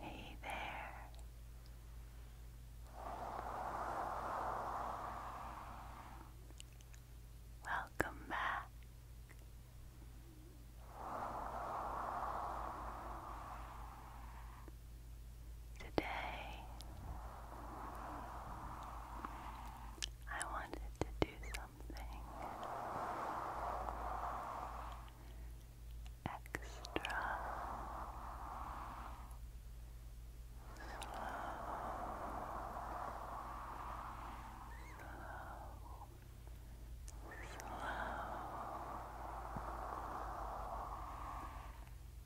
Hey there. Welcome back Today, I wanted to do something extra slow, slow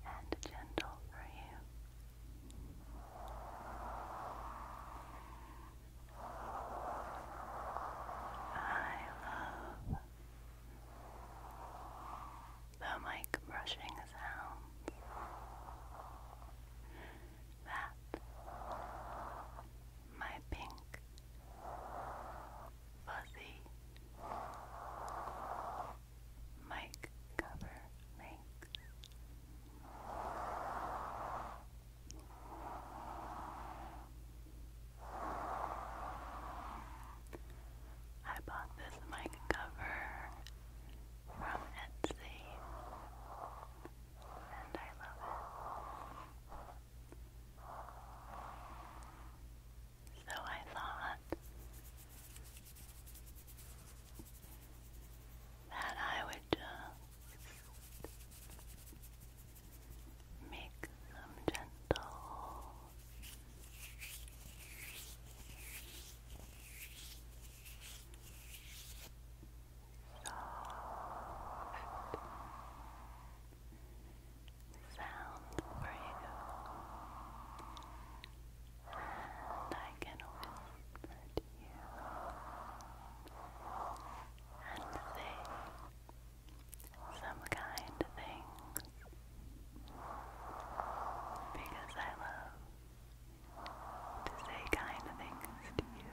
and gentle for you. I love the mic brushing sounds that my pink fuzzy mic cover makes. I bought this mic cover from Etsy and I love it. So I thought that I would make some gentle soft sound for you, and I can whisper to you and say some kind things because I love to say kind things to you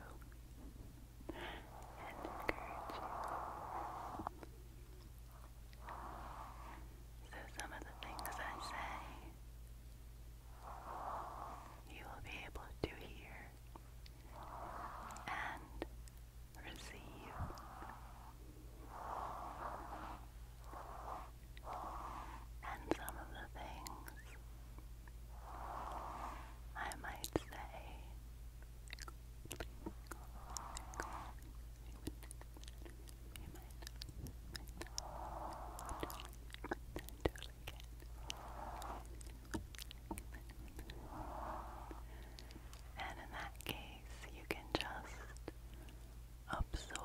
and encourage you. So, some of the things I say, you will be able to hear and receive and some of the things I might say and in that case, you can just absorb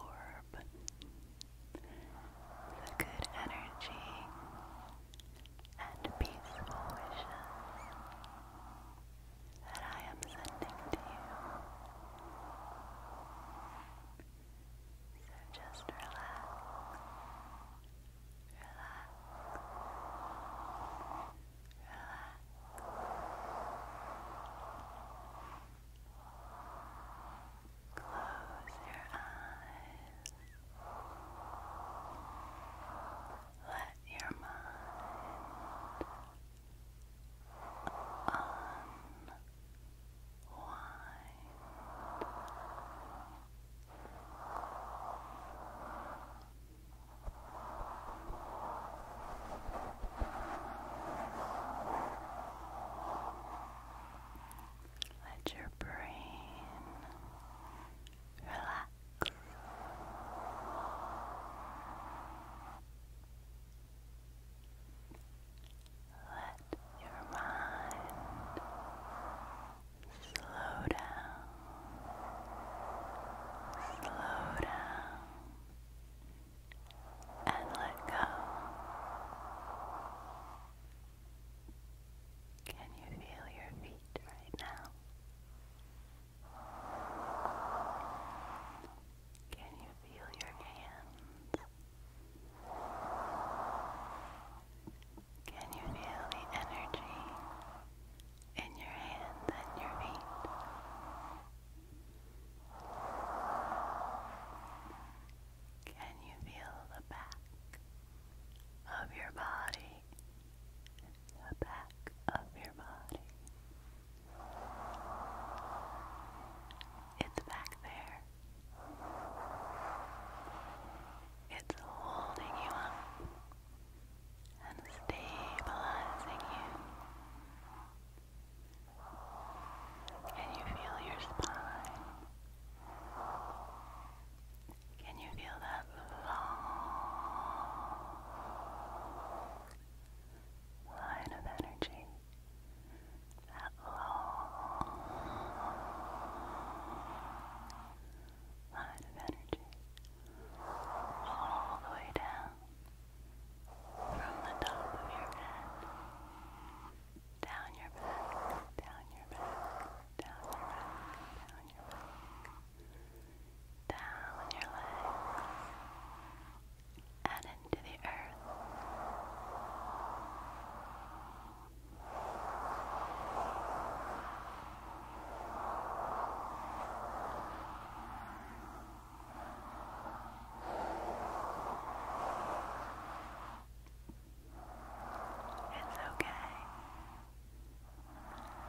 the good energy, and peaceful wishes that I am sending to you. So just relax, relax, relax. Close your eyes. Let your mind unwind. Let your brain relax. Let your mind slow down, slow down, and let go. Can you feel your feet right now? Can you feel your hands? Can you feel the energy in your hands and your feet? Can you feel the back of your body? The back of your body. It's back there. It's holding you up and stabilizing you can you feel your spine? Can you feel that long line of energy? That long line of energy all the way down from the top of your head down your back, down your back, down your back, down your back, down your legs, and into the earth. It's okay.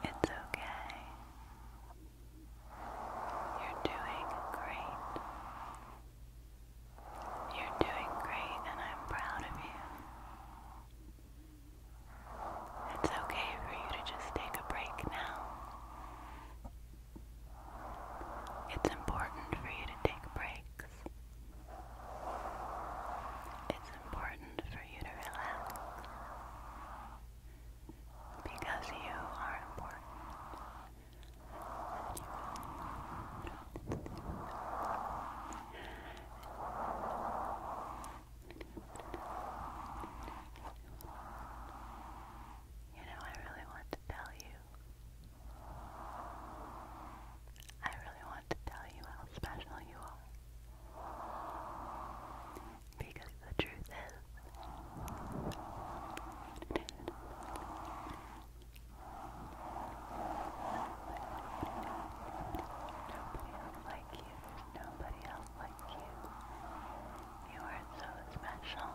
It's okay. You're doing great. You're doing great, and I'm proud of you. It's okay for you to just take a break now. It's important for you to take breaks. It's important for you to relax. Because you are important. You know, I really want to tell you I really want to tell you how special you are. Because the truth is, Nobody else like you. Nobody else like you. You are so special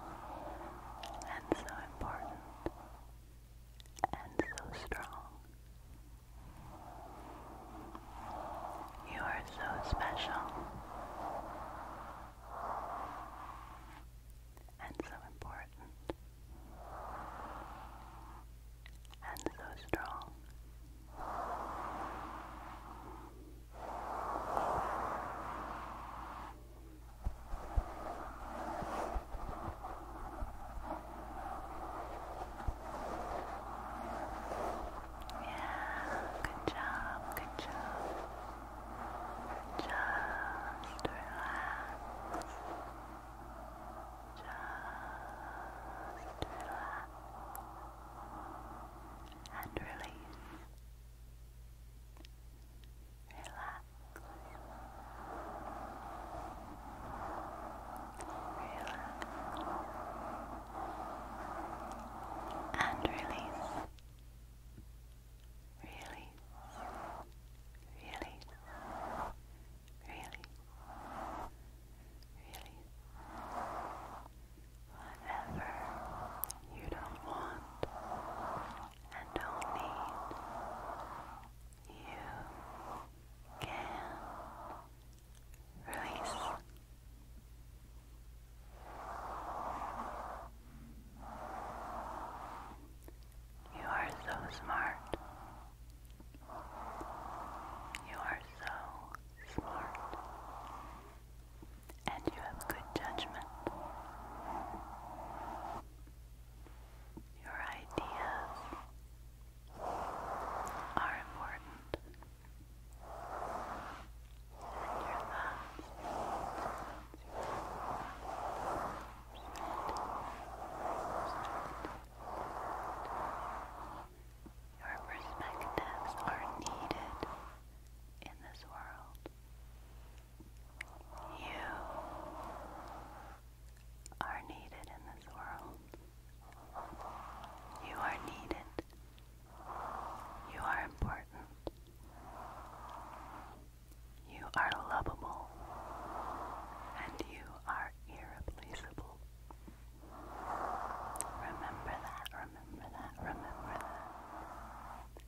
and so important and so strong. You are so special and so important and so strong good job, good job. Just relax. Just relax. And release and release, release, release, release, release whatever you don't want and don't need, you can release. You are so smart. You are so smart and you have good judgment. Your ideas are important, and your thoughts. Your perspectives are needed in this world. You are needed in this world. You are needed. You are important. You are lovable. And you are irreplaceable. Remember that, remember that, remember that.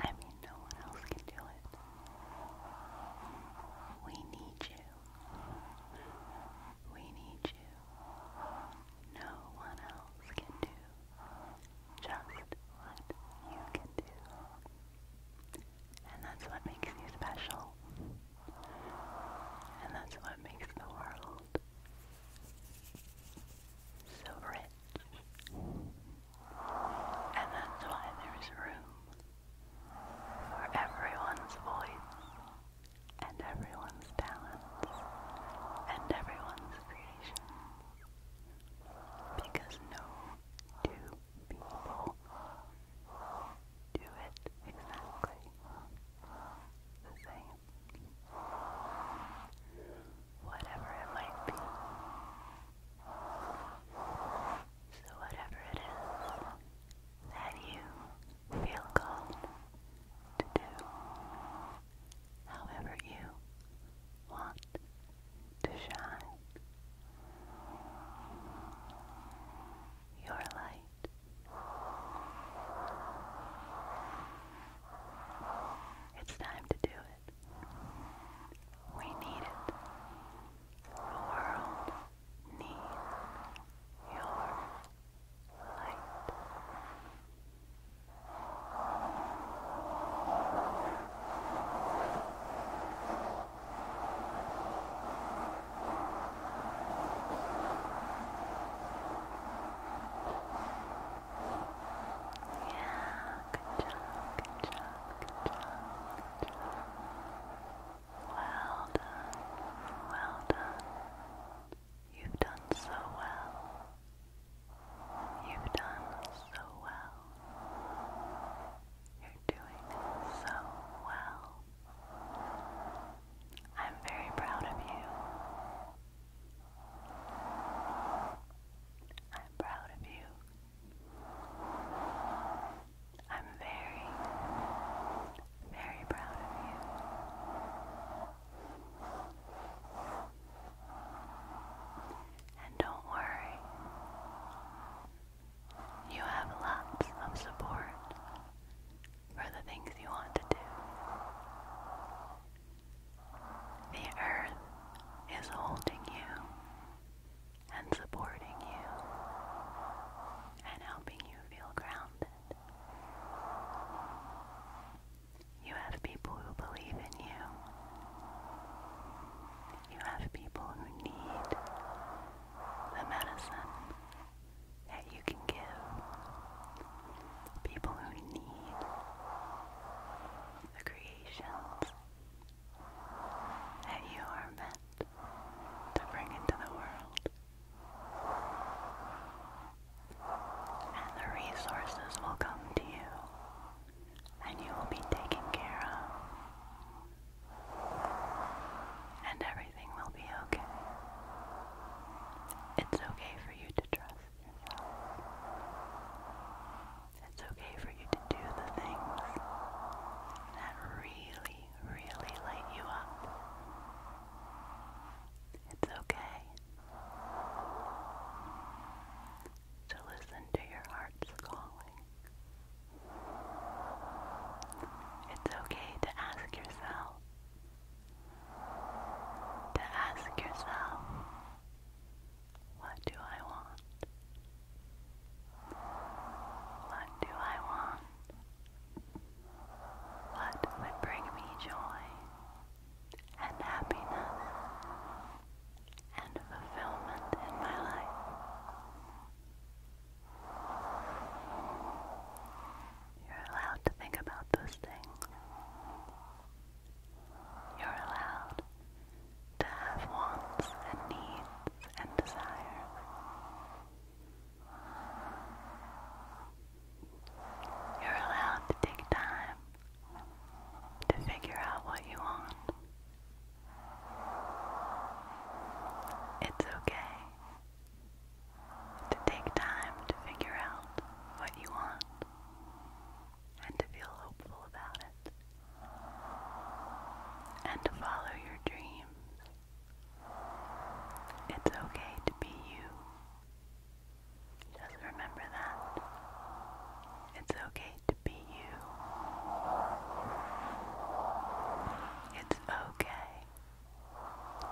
I mean, no one else can do it. We need you. We need you. No one else can do just what you can do. And that's what makes you special. And that's what makes the world so rich. And that's why there is room for everyone's voice and everyone's talents and everyone's creations. Because no two people do it exactly the same. Whatever it might be, so, whatever it is that you feel called to do, however you want to shine, your light. It's time to do it it. We need it. The world needs your light. Yeah, good job, good job, good job, Well done, well done. You've done so well. You've done so well. You're doing so well. I'm very proud of you. I'm proud of you. I'm very, very proud of you. And don't worry, you have lots of support for the things you want to do. The earth is holding you and supporting you and helping you feel grounded. You have people who believe in you. You have people who need the medicine that you can give. People who need the creations that you are meant to bring into the world. And the resources will come to you, and you will be taken care of, and everything will be okay. It's okay for you to trust. It's okay for you to do the things that really, really light you up. It's okay to listen to your heart's calling. It's okay to ask yourself, to ask yourself what do I want? What do I want? What would bring me joy and happiness and fulfillment in my life? You're allowed to think about those things. You're allowed to have wants and needs and desires. You're allowed to take time to figure out what you want. It's okay to take time to figure out what you want and to feel hopeful about it and to follow your dreams. It's okay to be you. Just remember that. It's okay to be you. It's okay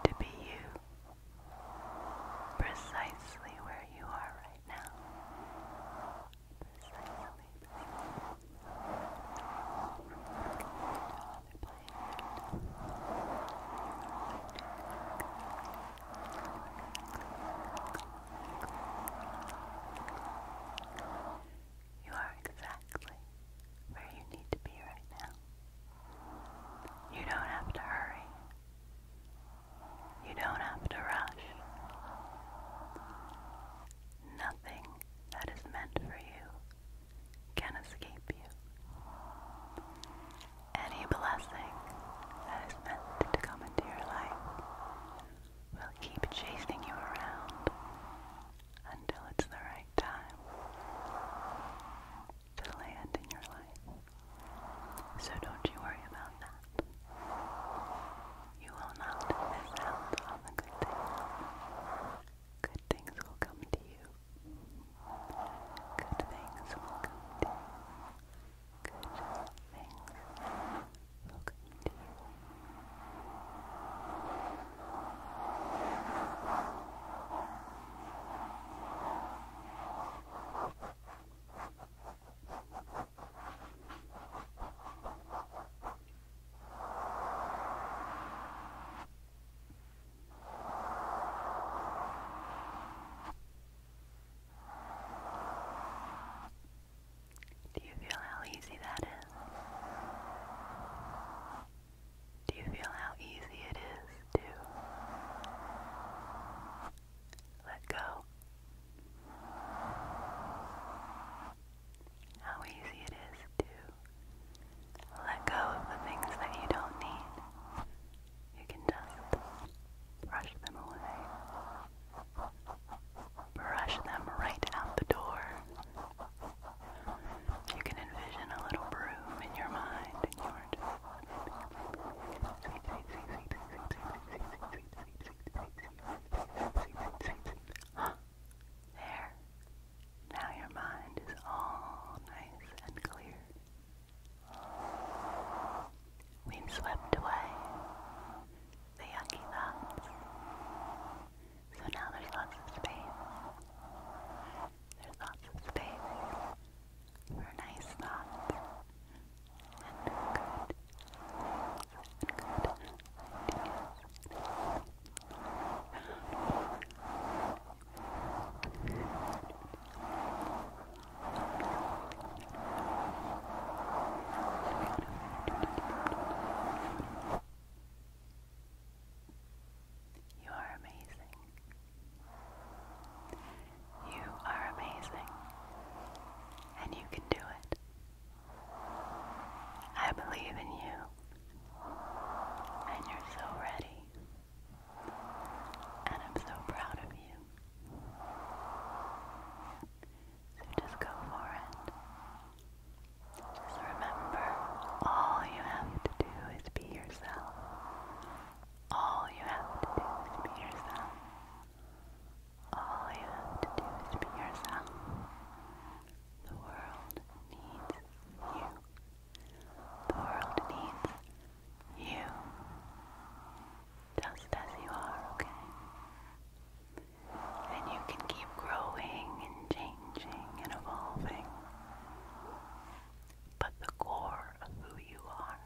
to be you precisely where you are right now. Precisely. You are exactly where you need to be right now. You don't have to hurry. You don't have to rush. Nothing that is meant for you can escape you. Any blessing that is meant to come into your life will keep chasing you around until it's the right time to land in your life. So don't you worry about that. You will not miss out on the good things. Good things will come to you. Good things will come to you. Good things will come to you. Do you feel how easy that is? Do you feel how easy it is to let go. How easy it is to let go of the things that you don't need. You can just brush them away. Brush them right out the door. You can envision a little broom in your mind there. Now your mind is all nice and clear. We've swept away the yucky thoughts. So now there's lots of space. There's lots of space for nice thoughts and good and good ideas. You are amazing. You are amazing, and you can do it. I believe in you, and you're so ready, and I'm so proud of you. So just go for it. Just remember, all you have to do is be yourself. All you have to do is be yourself. All you have to do is be yourself. The world needs you. The world needs you. Just as you are, And you can keep growing and changing and evolving but the core of who you are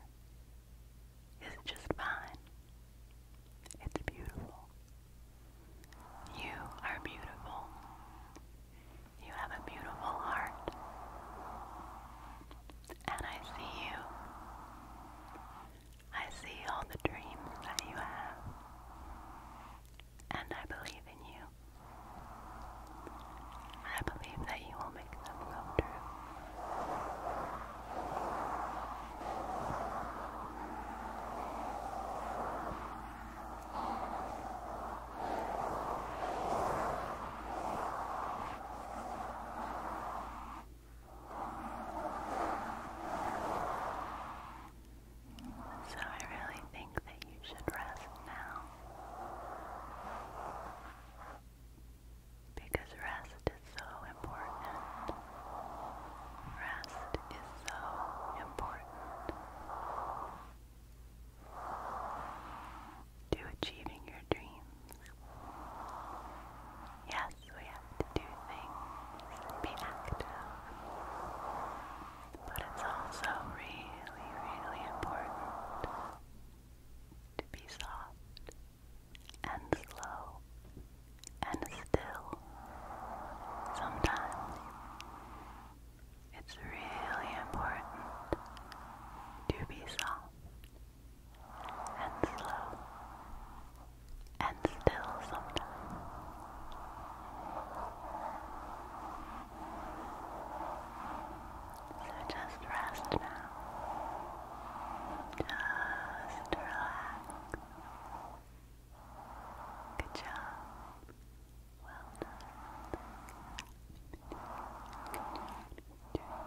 is just mine. It's beautiful. You are beautiful. You have a beautiful heart. And I see you. I see all the dreams that you have. And I believe in you. I believe that you will make them come true. So I really think that you should rest now. Because rest is so important. Rest is so important to achieving your dreams. Yes, we have to do things be active. But it's also really, really important to be soft and slow and still. Sometimes it's really important to be soft and slow and still sometimes. So just rest now. Just relax. Good job. Well done. Good job,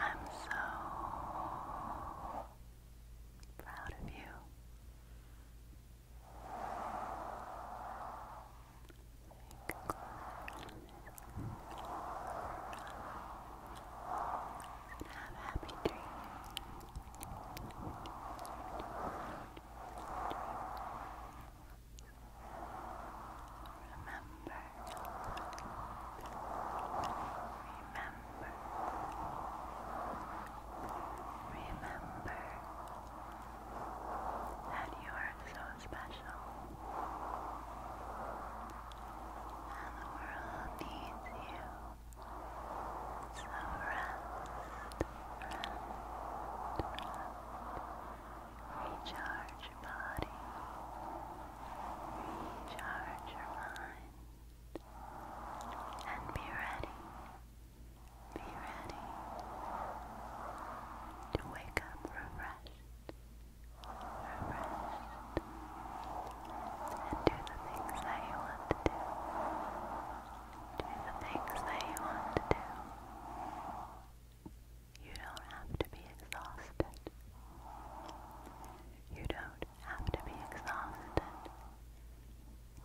I'm so proud of you. And have happy dreams. Remember remember that you are so special and the world needs you. So rest, rest, Recharge your recharge your mind, and be ready, be ready to wake up refreshed, refreshed, and do the things that you want to do, do the things that you want to do. You don't have to be exhausted. You don't have to be exhausted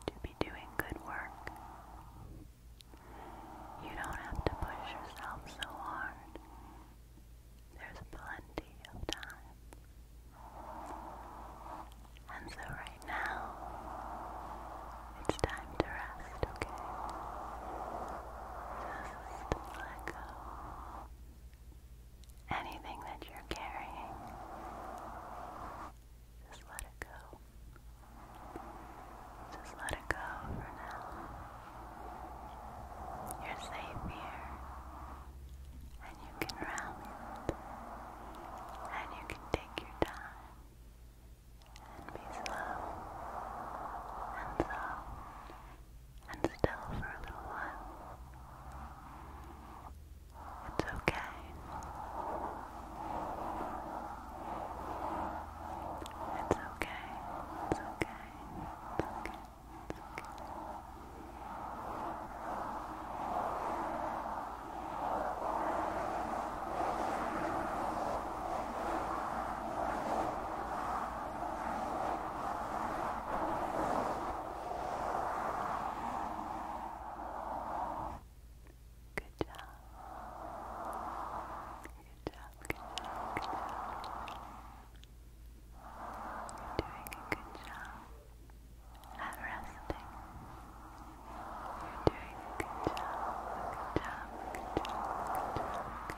to be doing good work. You don't have to push yourself so hard. There's plenty of time. And so right now, it's time to rest, okay? Just let go. Anything that you're carrying, just let it go. Just let it go for now. You're safe here, and you can rally, and you can take your time, and be slow and soft and still for a little while. It's okay. It's okay. It's okay. It's okay. It's okay. Good job. Good job. Good job. Good job. You're doing a good job at resting. You're doing a good job. Good job. Good job. Good job. Good job.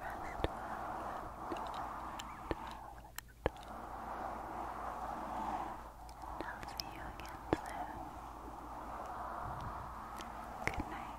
And I'll see you again soon. Good night.